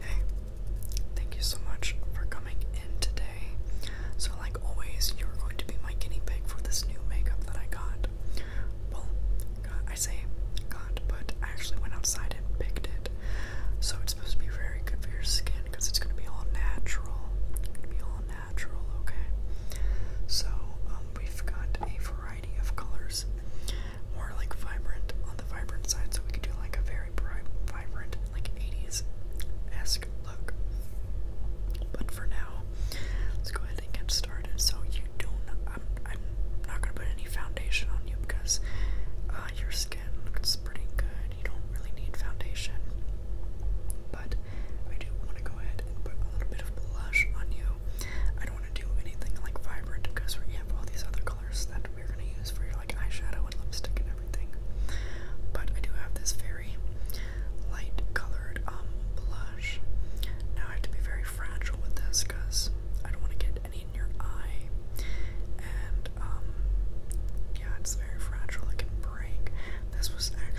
Hey, thank you so much for coming in today. So, like always, you're going to be my guinea pig for this new makeup that I got. Well, I say got, but I actually went outside and picked it. So, it's supposed to be very good for your skin because it's going to be all natural natural, okay? So, um, we've got a variety of colors, more like vibrant on the vibrant side, so we could do like a very bright, vibrant, like 80s esque look. But for now, let's go ahead and get started. So, you don't, I'm, I'm not i am not going to put any foundation on you because uh, your skin looks pretty good. You don't really need foundation. But I do want to go ahead and put a little bit of blush on you. I don't want to do anything like vibrant because we have all these other colors that we're going to use for your like eyeshadow and lipstick and everything. But I do have this very light colored um, blush. Now I have to be very fragile with this because I don't want to get any in your eye. And um, yeah, it's very fragile. It can break. This was actually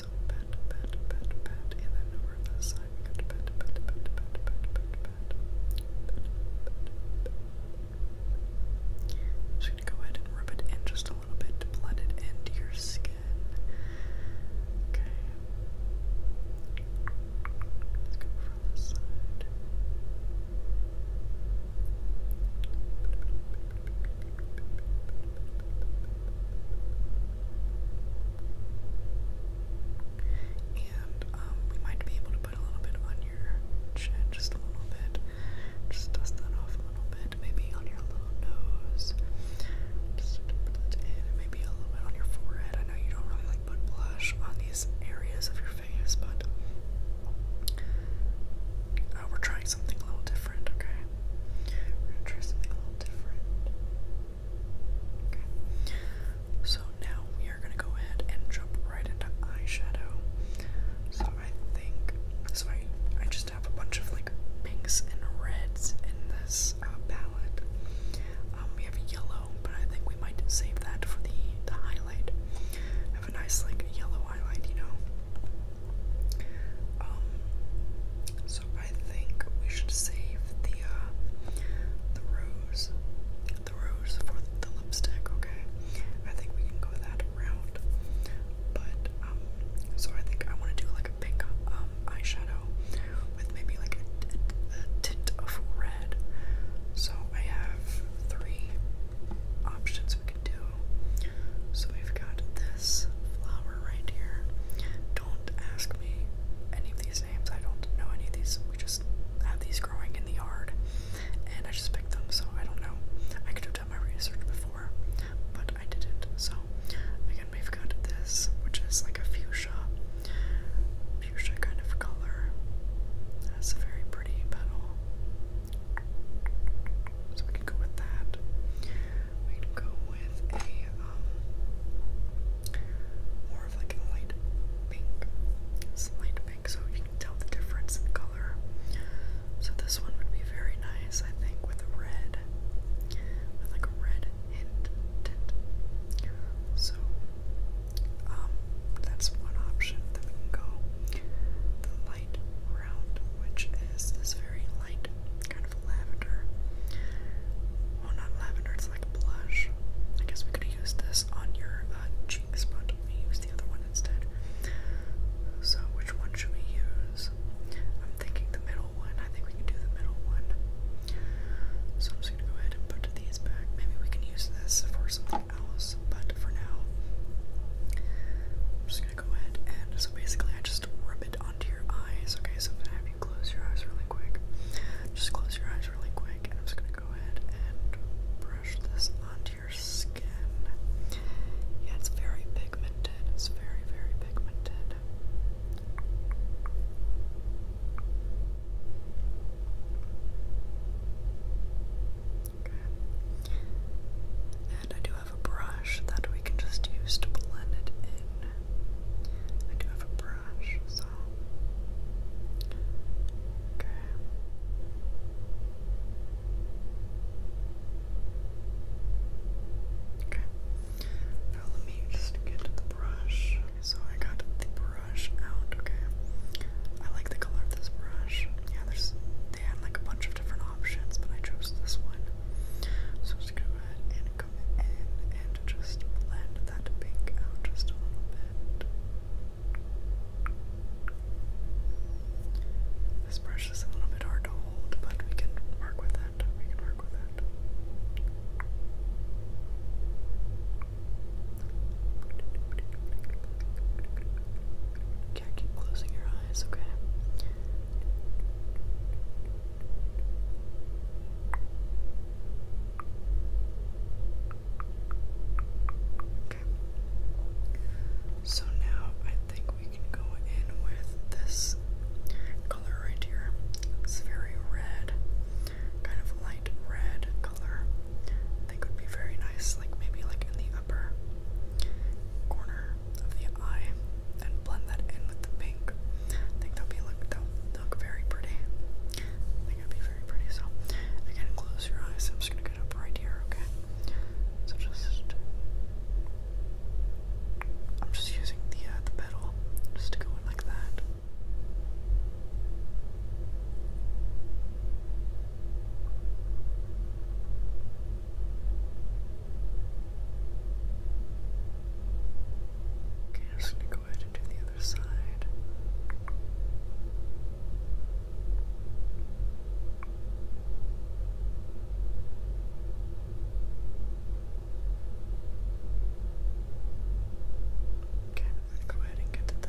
so pat, Just gonna go ahead and rub it in just a little bit blend it into your skin. Okay. Let's go from the side. And um, we might be able to put a little bit on your chin, just a little bit. Just dust that off a little bit. Maybe on your little nose. Just put that in. maybe a little bit on your forehead. I know you don't really like put blush on these areas of your face, but uh, we're trying something a little different okay? We're gonna try something a little different. Okay. So now we are gonna go ahead and jump right into eyeshadow. So I think so I I just have a bunch of like pinks and reds in this uh, palette. Um, we have yellow, but I think we might save that for the the highlight. Have a nice like yellow highlight, you know. Um, so I think we should save the uh, the rose, the rose for the lipstick. Okay, I think we can go that route. But um, so I think I want to do like a pink um eyeshadow with maybe like a, tint of red. So I have three options we so we've got this flower right here. Don't ask me any of these names. I don't know any of these. We just have these growing in the yard, and I just picked them. So I don't know. I could have done my research before, but I didn't. So again, we've got this, which is like a fuchsia, fuchsia kind of color. That's a very pretty petal. So we can go with that. We can go with a um, more of like a light pink. It's light pink, so you can tell the difference in color. So this one would be very nice, I think, with a red. With like a red hint tint. So um, that's one option that we can go light round, which is this very light kind of lavender. Well, not lavender, it's like blush. I guess we could use this on your uh, cheeks, but we use the other one instead. So, which one should we use? I'm thinking the middle one. I think we can do the middle one. So, I'm just gonna go ahead and put these back. Maybe we can use this for something Alice, but for now, I'm just gonna go ahead and so basically I just rub it onto your eyes. Okay, so I'm gonna have you close your eyes really quick. Just close your eyes really quick, and I'm just gonna go ahead and brush this onto your skin. Yeah, it's very pigmented. It's very, very pigmented. And I do have a brush that we can just use to blend it in. I do have a brush, so. Okay. Okay. Now let me just get the brush. So I got the brush out, okay. I like the color of this brush they had like a bunch of different options, but I chose this one. So just go ahead and come in and just blend that pink out just a little bit. This brush is a little bit hard to hold, but we can work with that. We can work with that. Okay, keep closing your eyes, Okay. So now I think we can go in with this color right here. It's very red, kind of light red color. I think would be very nice, like maybe like in the upper corner of the eye, and blend that in with the pink. I think that'll be look that'll look very pretty. I think it'd be very pretty. So again, close your eyes. I'm just gonna get up right here, okay? So just I'm just using the uh, the pedal just to go in like that. Okay, I'm just gonna go ahead and do the other side. Okay, I'm gonna go ahead and get the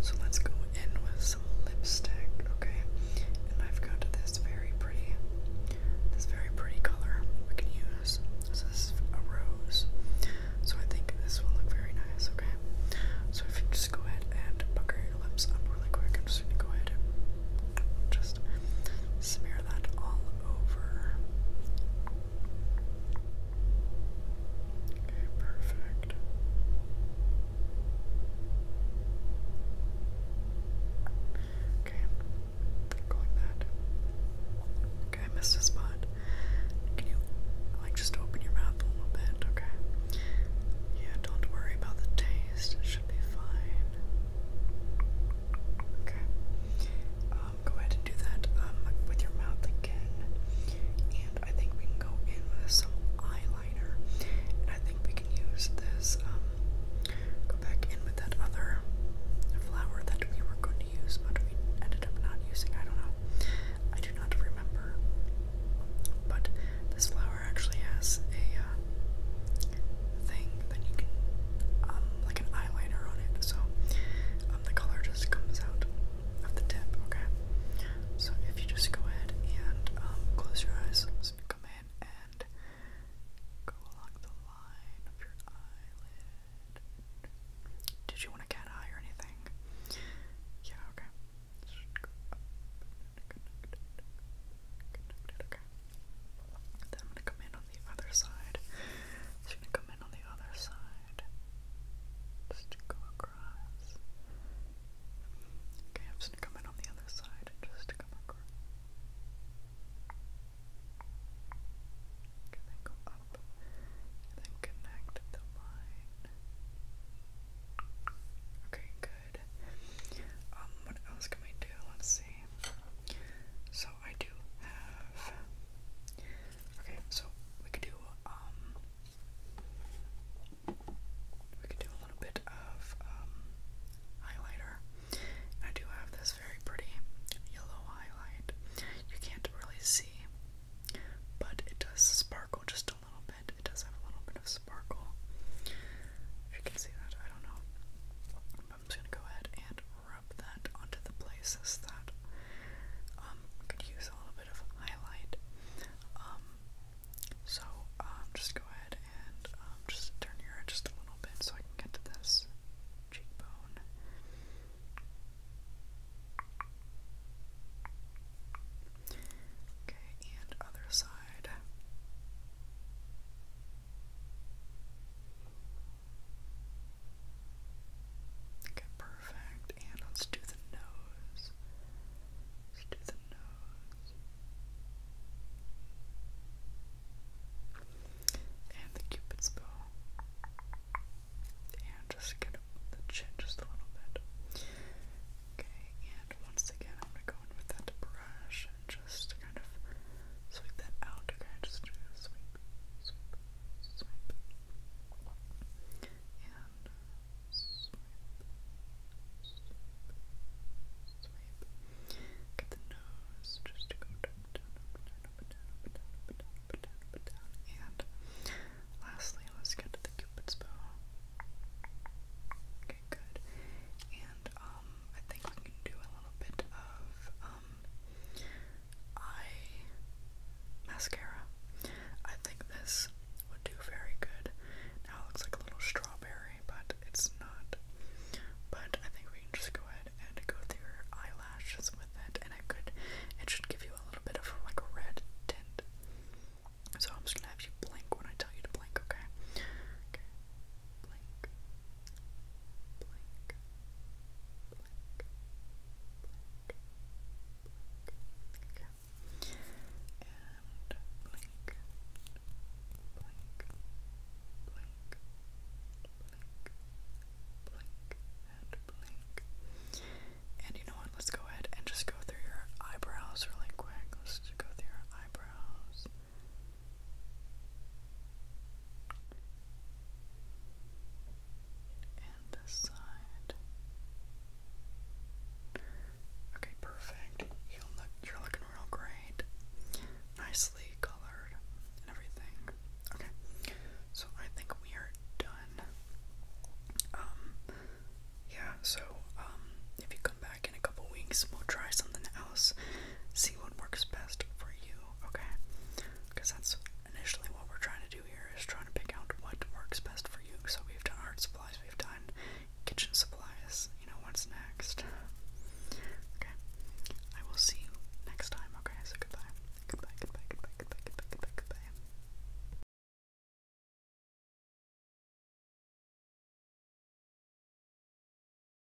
so let's go in with some lipstick, okay? And I've got this very pretty, this very pretty color we can use. this is a rose. So I think this will look very nice, okay? So if you just go ahead and pucker your lips up really quick, I'm just gonna go ahead and just smear that all over. Okay, perfect. Okay, go like Okay, I missed a spot. Can you, like, just open your mouth a little bit? Okay. Yeah, don't worry about the taste. It should be fine. Okay. Um, go ahead and do that um, with your mouth again. I think we can go in with some eyeliner, and I think we can use this, um, go back in with that other flower that we were going to use, but we ended up not using, I don't know, I do not remember, but this flower actually has a, uh, thing that you can, um, like an eyeliner on it, so, um, the color just comes out of the tip, okay? So if you just go ahead and um, close your eyes, so you come in and go along the line of your eyelid. Did you want a cat eye or anything? Yeah, okay. Then I'm gonna come in on the other side. So gonna come on the other side. Just go across. Okay, I'm just gonna come in on the other side and just come across. then go up then connect the line. Okay, good. Um, what else can we do? Let's see. So I do have Okay, so we could do um, we could do a little bit of um, highlighter. I do have this very pretty yellow highlight. You can't really see, but it does sparkle just a little bit. It does have a little bit of sparkle. you can see that, I don't know. I'm just gonna go ahead and rub that onto the places that um, could use a little bit of highlight. Um, so um, just go ahead and just turn your just a little bit so I can get to this cheekbone. Okay, and other side. Okay, perfect. And let's do the nose. Let's do the nose. And the cupid's bow. And just get up the chin just a little bit. Okay, and once again, I'm gonna go in with that brush and just kind of sweep that out. Okay, just sweep, sweep, swipe, and Get the nose just go down, down, up, down, up, down, up, down, up, down, up, down, down, and lastly, let's get to the cupid's bow. Okay, good. And um, I think we can do a little bit of um eye mascara. I think this would do very good. Now it looks like a little strawberry, but it's not. But I think we can just go ahead and go through your eyelashes with it, and I could, it should give you a little bit of like a red tint. So I'm just gonna have you blink when I tell you to blink, okay? Okay. Blink, blank, blank, blank, blank. Okay. And blink, blink, blink, blink, blink, and blink. And you know what? Let's go ahead and just go through your eyebrows really quick. Let's just go through your eyebrows. And this side. Okay, perfect. You look, you're looking real great. Nicely colored everything. Okay, so I think we are done. Um, yeah, so, um, if you come back in a couple weeks, we'll try something else, see what works best for you okay? Because that's initially what we're trying to do here is trying to pick out what works best for you. So we've done art supplies, we've done kitchen supplies, you know, what's next? Okay, I will see you next time, okay? So goodbye. Goodbye, goodbye, goodbye, goodbye, goodbye, goodbye,